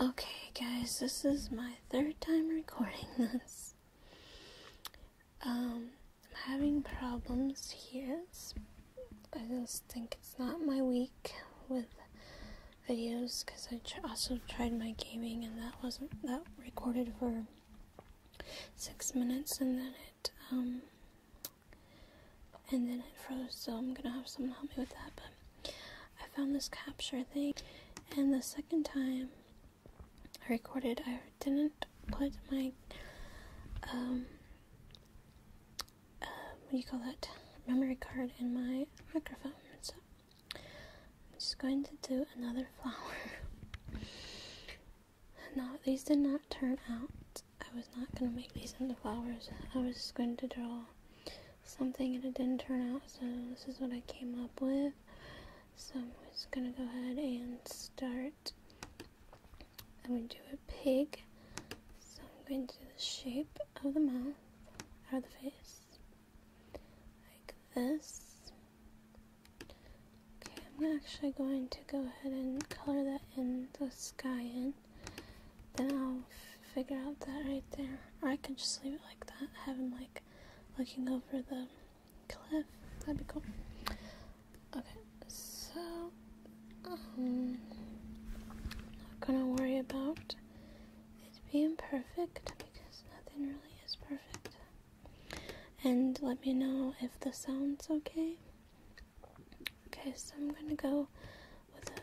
Okay, guys, this is my third time recording this. Um, I'm having problems here. I just think it's not my week with videos because I also tried my gaming and that wasn't that recorded for six minutes and then it um and then it froze. So I'm gonna have someone help me with that, but I found this capture thing, and the second time I recorded, I didn't put my um, uh, what do you call that memory card in my microphone. So I'm just going to do another flower. now these did not turn out. I was not gonna make these into flowers. I was just going to draw something and it didn't turn out, so this is what I came up with. So I'm just gonna go ahead and start. I'm gonna do a pig. So I'm going to do the shape of the mouth, of the face, like this. Okay, I'm actually going to go ahead and color that in the sky in then I'll figure out that right there. Or I could just leave it like that, having like looking over the cliff. That'd be cool. Okay, so um, not gonna worry about it being perfect because nothing really is perfect. And let me know if the sound's okay. Okay, so I'm gonna go with a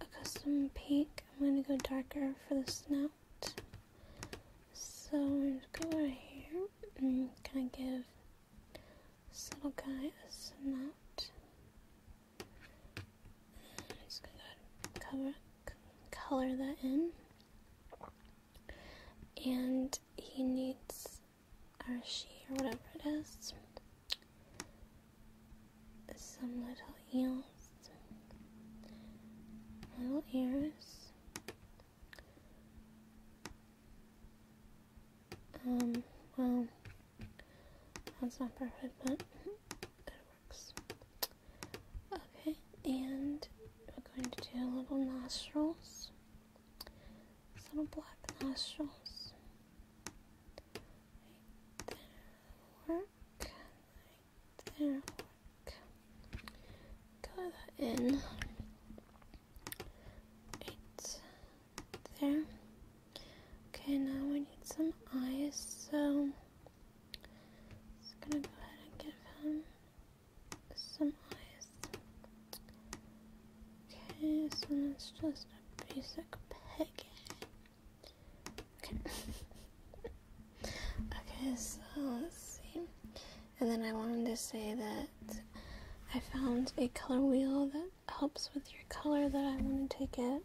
a custom pink. I'm going to go darker for the snout. So I'm going to go right here and kind of give this little guy a snout. I'm just going to cover, color that in. And he needs, or she, or whatever it is, some little eels, little ears. Um, well, that's not perfect, but it works. Okay, and we're going to do little nostrils, little black nostrils work, there, work. Go that in. Eight there. Okay, now we need some eyes, so just gonna go ahead and give him some eyes. Okay, so that's just a basic package. Okay. okay, so let's see. And then I wanted to say that I found a color wheel that helps with your color that I want to get.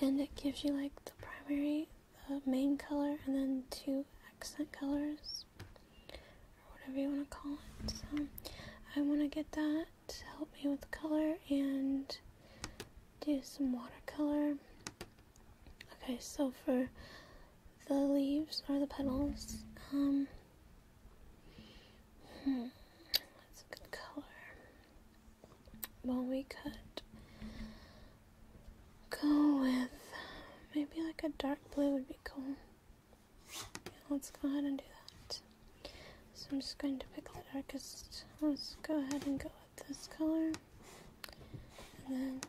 And it gives you like the primary, the main color, and then two accent colors, or whatever you want to call it. So I want to get that to help me with color and do some watercolor. Okay, so for the leaves or the petals, um, hmm, that's a good color. Well, we could go with maybe like a dark blue would be cool. Yeah, let's go ahead and do that. So I'm just going to pick the darkest. Let's go ahead and go with this color. And then,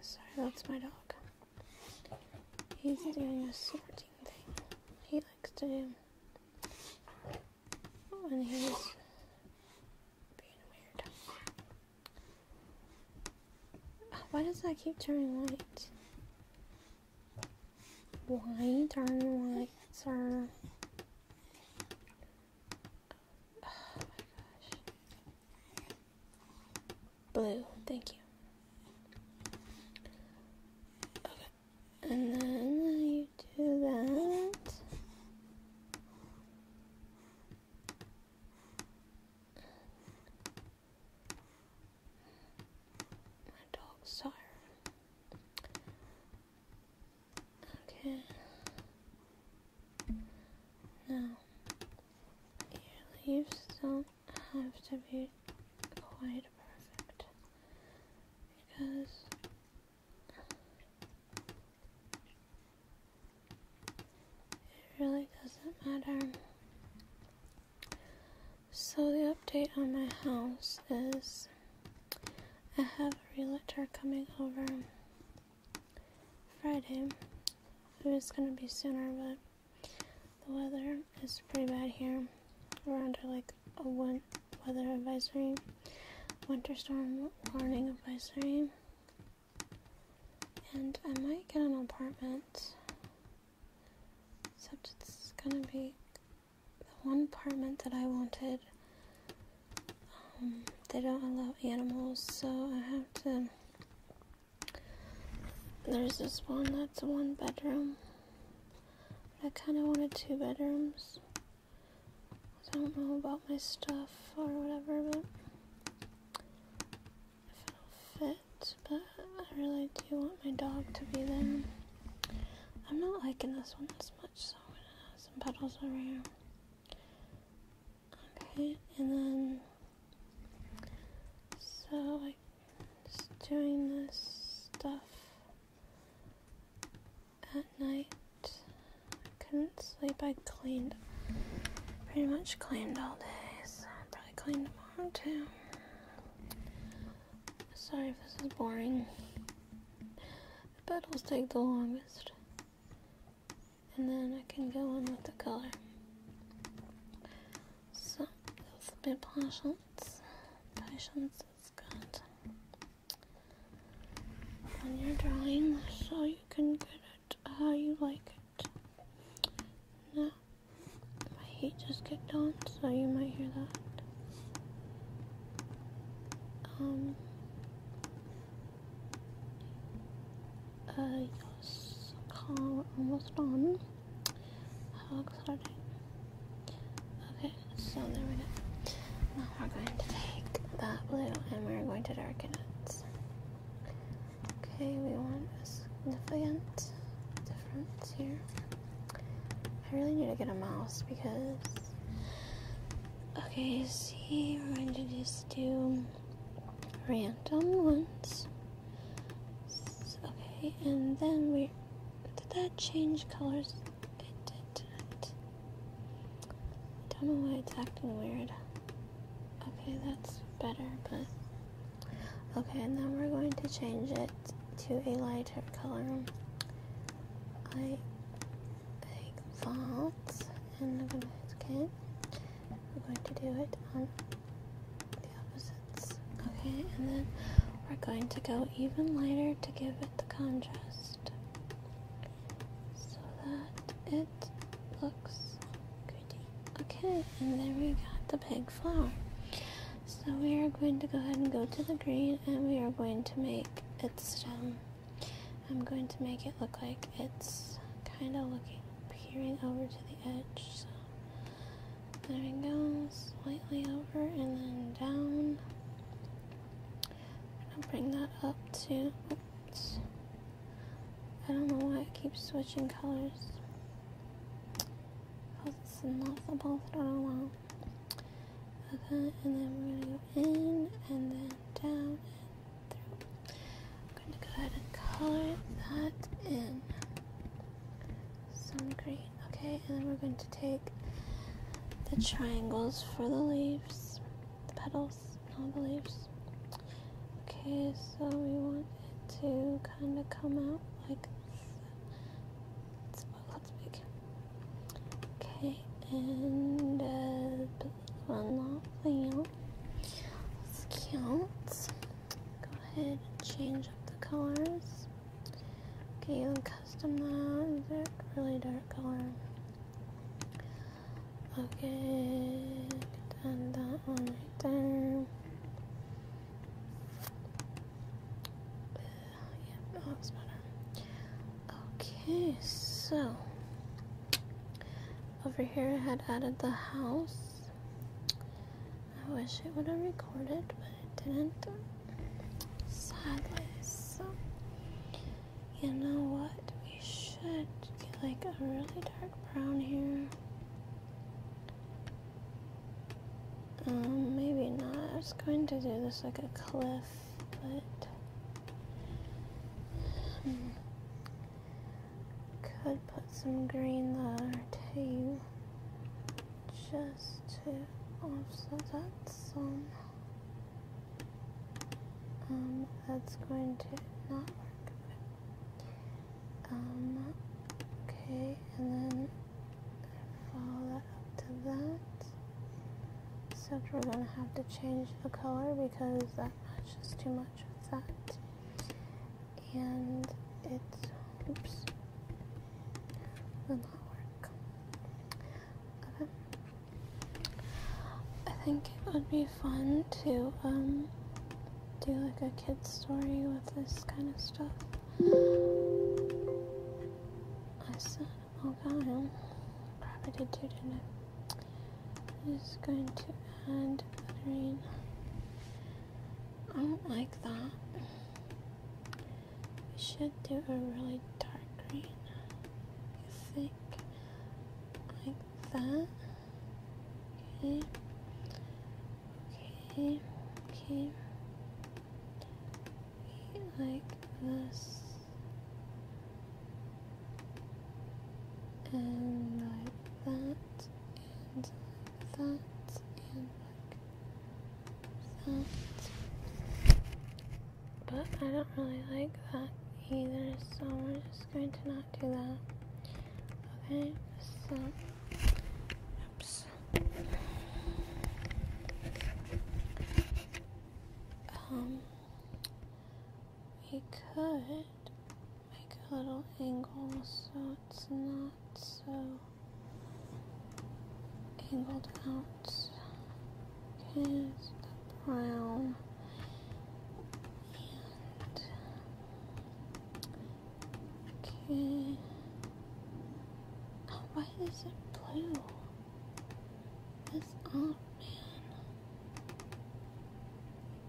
sorry, that's my dog. He's doing a sorting thing. He likes to do. Oh, and he's being weird. Why does that keep turning white? Why darn lights are... Oh my gosh. Blue, thank you. Okay, and then you do that. My dog's tired. Okay. Now, your leaves don't have to be quite perfect because it really doesn't matter so, the update on my house is I have a realtor coming over Friday. It was going to be sooner, but the weather is pretty bad here. We're under like a win- weather advisory, winter storm warning advisory, and I might get an apartment Except it's gonna be the one apartment that I wanted. Um, they don't allow animals, so I have to. There's this one that's one bedroom. I kind of wanted two bedrooms. I don't know about my stuff or whatever, but if it'll fit but I really do want my dog to be there. I'm not liking this one as much, so I'm gonna have some petals over here. Okay, and then so I'm just doing this stuff at night. couldn't sleep. I cleaned pretty much cleaned all day, so I'll probably clean tomorrow too. Sorry if this is boring. The petals take the longest. And then I can go in with the color. So, it's a bit patience. Patience is good. on your drawing, so you can get it how you like it. Now, my heat just kicked on, so you might hear that. Um. Uh, yes. Car almost done. How exciting. Okay, so Now we're going to take that blue and we're going to darken it. Okay, we want a significant difference here. I really need to get a mouse because. Okay, see, we're going to just do random ones. Okay, and then we. Did that change colors? It did not. I don't know why it's acting weird. Okay, that's better, but Okay, and then we're going to change it to a lighter color. I take that and I'm gonna We're going to do it on the opposites. Okay, and then we're going to go even lighter to give it the contrast. So that it looks pretty. Okay, and then we got the big flower. So we are going to go ahead and go to the green and we are going to make its stem. Um, I'm going to make it look like it's kind of looking, peering over to the edge. So there we go, slightly over and then down. I'm bring that up too. I don't know why it keeps switching colors. Okay, and then we're gonna go in and then down I'm gonna go ahead and color that in. Some green. Okay, and then we're going to take the triangles for the leaves, the petals, not the leaves. Okay, so we want it to kind of come out like this. That's, that's big. Okay, and uh, one last It's cute. Go ahead and change up the colors. Okay, custom that. really dark color. Okay, and that one right there. Okay, so over here I had added the house. I wish it would have recorded, but it didn't. Sadly, so you know what? We should get like a really dark brown here. Um, maybe not. I was going to do this like a cliff, but hmm, could put some green there too, just to offset that some. Um, that's going to not work. Um, okay, and then follow up to that. Except we're gonna have to change the color because that matches too much with that. And it's, oops, will not work. I think it would be fun to, um, do like a kid story with this kind of stuff. I said, oh god, crap, I did too, didn't I? I'm just going to add buttering. I don't like that. We should do a really dark green. You think? Like that. Okay. Okay, okay. Like this. And like that. And like that. And like that. But I don't really like that either, so we're just going to not do that. Okay, so. Oops this. Um, we could make a little angle so it's not so angled out. Here's the brown. And Okay. why is it blue? This oh man.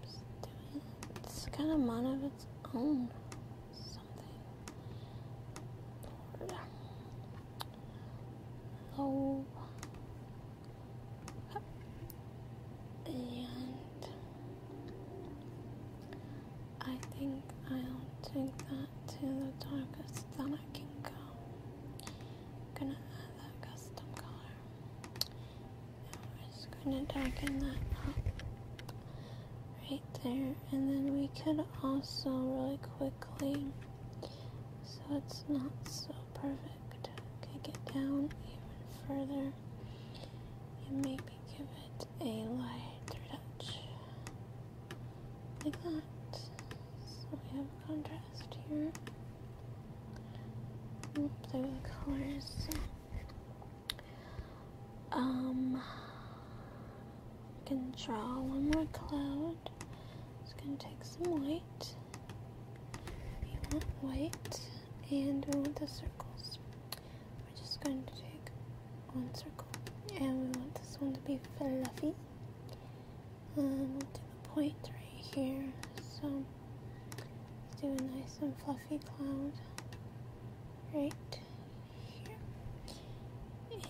It's, doing, it's got a mind of its own. Something. Lord. Low. I think I'll take that to the darkest that I can go. gonna add that custom color. just gonna darken that up right there. And then we could also really quickly, so it's not so perfect, kick it down even further and maybe give it a lighter touch like that. So we have contrast here. Oops, colors. Um, I can draw one more cloud. Just gonna take some white. We want white, and we want the circles. We're just going to take one circle and we want this one to be fluffy. And to the point right here. So let's do a nice and fluffy cloud right here.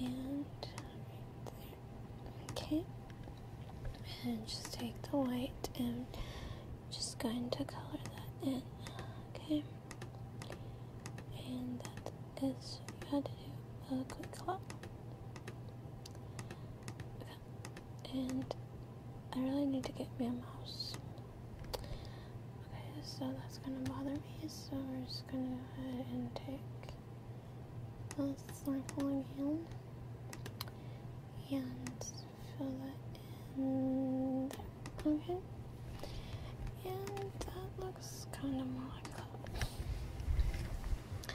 And right there. Okay. And just take the white and just going to color that in. Okay and that is you had to do a quick clap. Okay. And I really need to get me a mouse. Okay, so that's gonna bother me, so we're just gonna go ahead and take the snorkeling hand and fill that in Okay. And that looks kind of more like a.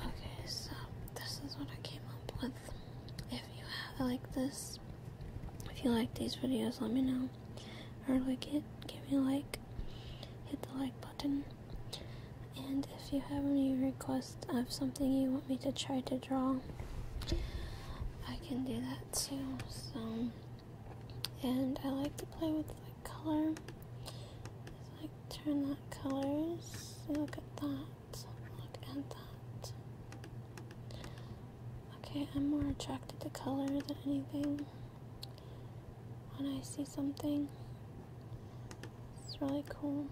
Okay, so this is what I came up with. If you have, like this, if you like these videos, let me know. Or like it, give me a like, hit the like button. And if you have any requests of something you want me to try to draw, I can do that too. So, and I like to play with the color. like turn that colors. Look at that. Look at that. Okay, I'm more attracted to color than anything. When I see something, it's really cool.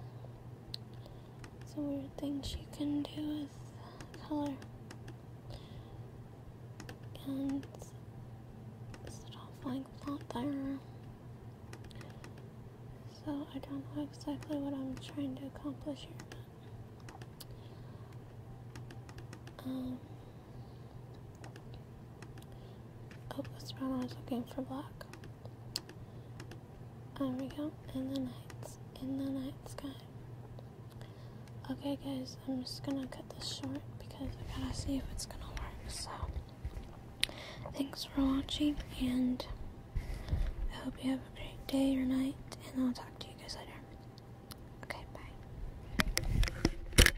It's a weird thing she can do with color. And it's an offline plot So I don't know exactly what I'm trying to accomplish here, um, oh, that's brown. I was looking for black. There we go. In the night. In the night sky. Okay, guys, I'm just gonna cut this short because I gotta see if it's gonna work. So, thanks for watching, and I hope you have a great day or night, and I'll talk to you guys later. Okay, bye.